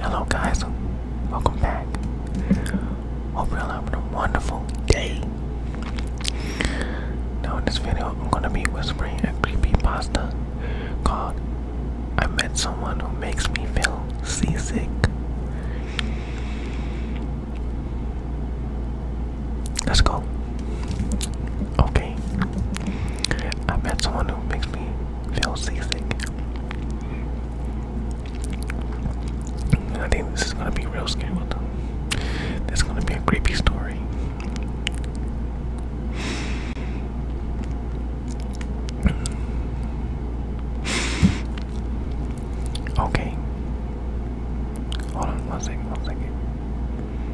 Hello guys, welcome back. Hope you're having a wonderful day. Now in this video, I'm gonna be whispering a creepy pasta called "I Met Someone Who Makes Me Feel Seasick." Let's go. Okay, I met someone who makes me feel seasick. I think this is gonna be real scary. though. This is gonna be a creepy story. Okay. Hold on one second, one second.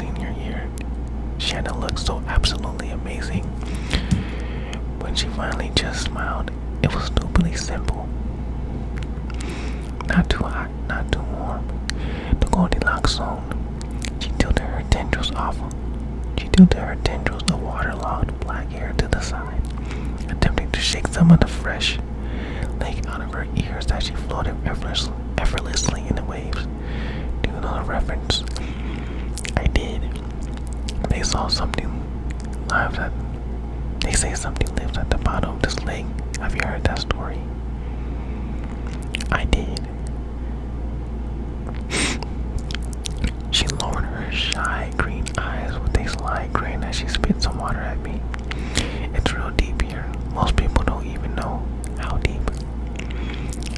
senior year. Shannon looked so absolutely amazing. When she finally just smiled, it was stupidly simple. Not too hot, not too warm. The golden Goldilocks zone. She tilted her tendrils off. She tilted her tendrils of waterlogged black hair to the side, attempting to shake some of the fresh, flesh, out of her ears that she floated effortlessly in the waves. Do you know the reference? I did. They saw something lives at. They say something lives at the bottom of this lake. Have you heard that story? I did. she lowered her shy green eyes with a slight grin as she spit some water at me. It's real deep here. Most people don't even know how deep.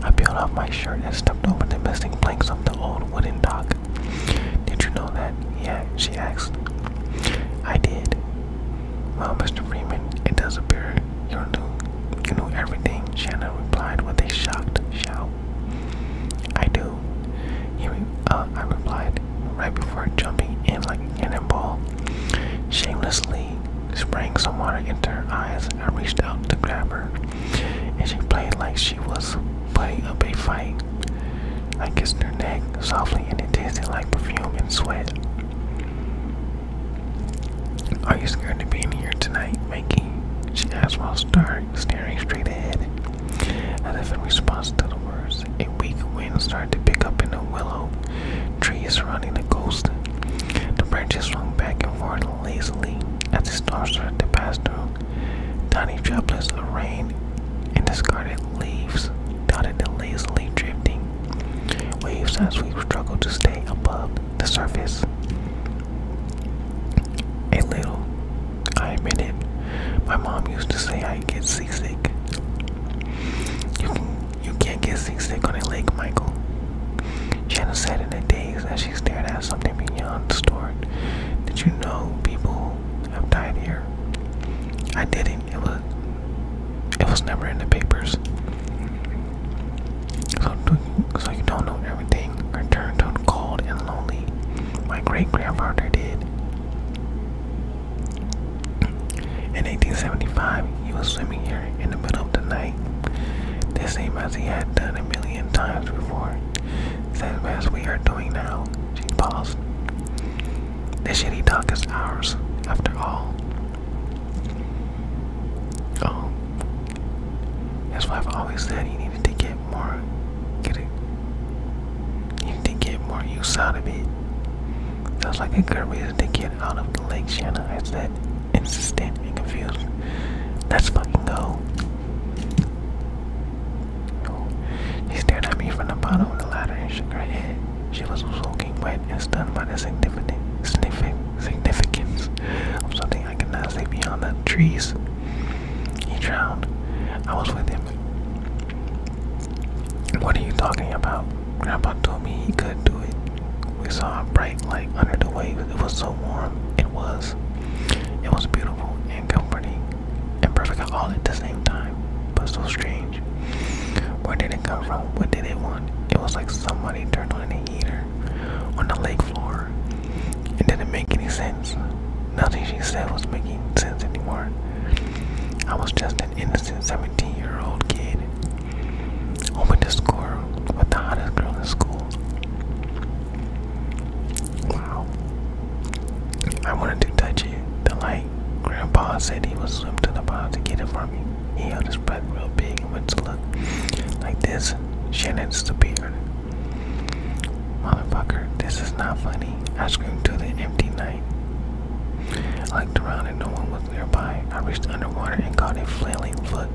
I peeled off my shirt and stepped over the missing planks of the old wooden dock. Did you know that? Yeah, she asked. I did. Well, Mr. Freeman, it does appear you knew, you knew everything, Shannon replied with a shocked shout. I do. Uh, I replied right before jumping in like a cannonball. Shamelessly spraying some water into her eyes, I reached out to grab her, and she played like she was putting up a fight. I kissed her neck softly, and it tasted like perfume and sweat. Are you scared to be in here tonight, Mikey? She asked while staring straight ahead, as if in response to the words a weak wind started to pick up in the willow trees surrounding the coast. The branches swung back and forth lazily as the storm started to pass through. Tiny droplets of rain and discarded leaves dotted the lazily drifting waves as we struggled to stay above the surface. A little I admit it. My mom used to say I get seasick. You can, you can't get seasick on a lake, Michael. Jenna said in the daze as she stared at something beyond the store. Did you know people have died here? I didn't. It was it was never in the papers. So, so you don't know everything. Her tone cold and lonely. My great grandfather did. In 1875, he was swimming here in the middle of the night, the same as he had done a million times before, same as we are doing now. She paused. This shitty talk is ours, after all. Oh. That's why always said he needed to get more get it you can get more use out of it. Sounds like a good reason to get out of the lake Shanna I said insistent and confused. Let's fucking go. She stared at me from the bottom of the ladder and shook her head. She was soaking wet and stunned by the significant significance of something I could not see beyond the trees. He drowned. I was with him. What are you talking about? Grandpa told me he could do it. We saw a bright light under the waves. It was so warm. It was. It was beautiful and comforting and perfect all at the same time, but so strange. Where did it come from? What did it want? It was like somebody turned on an heater on the lake floor. It didn't make any sense. Nothing she said was making sense anymore. I was just an innocent 17 year old kid, hoping to score with the hottest girl in school. Wow. I wanted to touch it, The like Grandpa said he would swim to the pond to get it for me. He held his breath real big and went to look like this is Shannon's the beard. Motherfucker, this is not funny. I screamed to the empty night. I looked around and no one was nearby. I reached underwater and caught a flailing foot.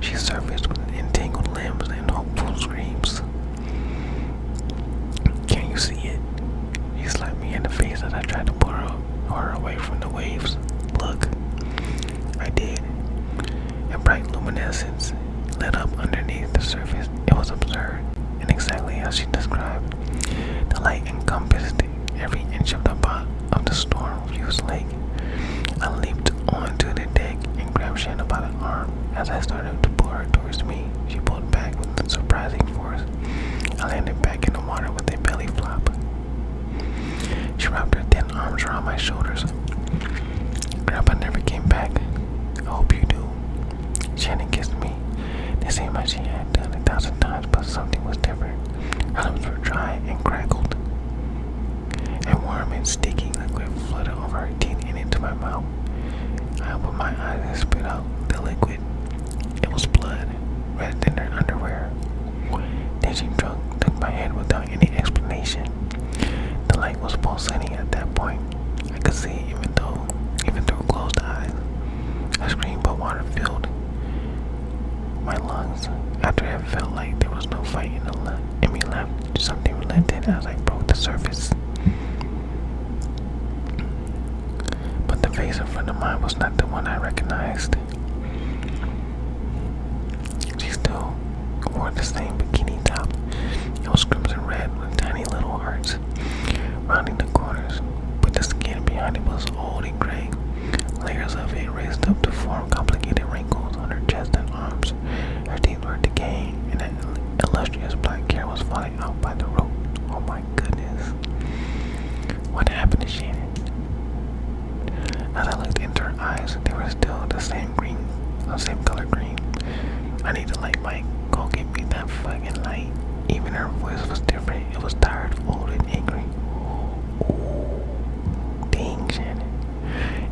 She surfaced with entangled limbs and hopeful screams. Can you see it? She slapped me in the face as I tried to pull her, her away from the waves. Look. I did. A bright luminescence lit up underneath the surface. It was absurd, and exactly as she described. The light encompassed every inch of the bottom of the storm-fused lake. I leaped onto the deck and grabbed Shannon by the arm. As I started to pull her towards me, she pulled back with surprising force. I landed back in the water with a belly flop. She wrapped her thin arms around my shoulders. Grandpa never came back. I hope you do. Shannon kissed me. It seemed like she had done a thousand times, but something was different. Her lips were dry and crackled, and warm and sticky liquid flooded over her teeth and into my mouth. I opened my eyes and spit out the liquid. It was blood wrapped in their underwear. Then she drunk, took my hand without any explanation. The light was pulsating at that point. I could see even though even through closed eyes. I screamed but water filled my lungs. After I felt like there was no fighting in, the le in left, something relented as I broke the surface but the face in front of mine was not the one I recognized. She still wore the same bikini top. It was crimson red with tiny little hearts rounding the corners, but the skin behind it was old and gray. Layers of it raised up to form complicated wrinkles on her chest and arms. Her teeth were decaying, and an illustrious black hair was falling out oh, by the road. Oh my goodness. What happened to Shannon? As I looked into her eyes, they were still the same green, the uh, same color green. I need a light, Mike. Go get me that fucking light. Even her voice was different. It was tired, old, and angry. Ooh, dang, Shannon.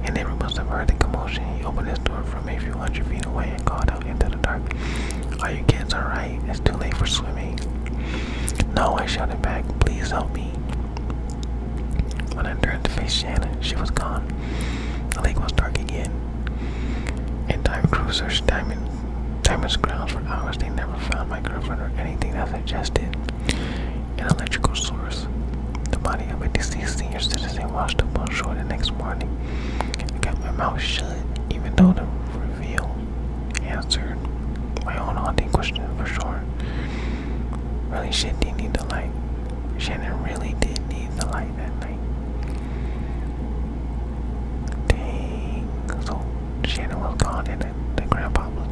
And everyone must have heard the commotion. He opened his door from a few hundred feet away and called out into dark. Are you kids alright? It's too late for swimming. No, I shouted back. Please help me. When I turned to face Shannon, she was gone. The lake was dark again. In time cruisers, diamond, diamonds grounds for hours. They never found my girlfriend or anything that suggested an electrical source. The body of a deceased senior citizen washed up on shore the next morning. I kept my mouth shut even though the reveal answered my own haunting question for sure. Really, shit didn't need the light. Shannon really did need the light that night. Dang. So Shannon was gone and the grandpa was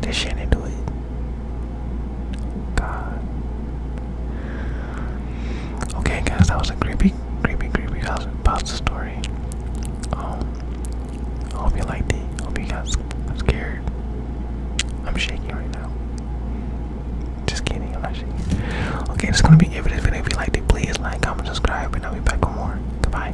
Did Shannon do it? Okay, guys, that was a creepy, creepy, creepy house pasta story. Um, I hope you liked it. Hope you guys am scared. I'm shaking right now. Just kidding, I'm not shaking. Okay, that's gonna be it for this video. If you liked it, please like, comment, subscribe, and I'll be back with more. Goodbye.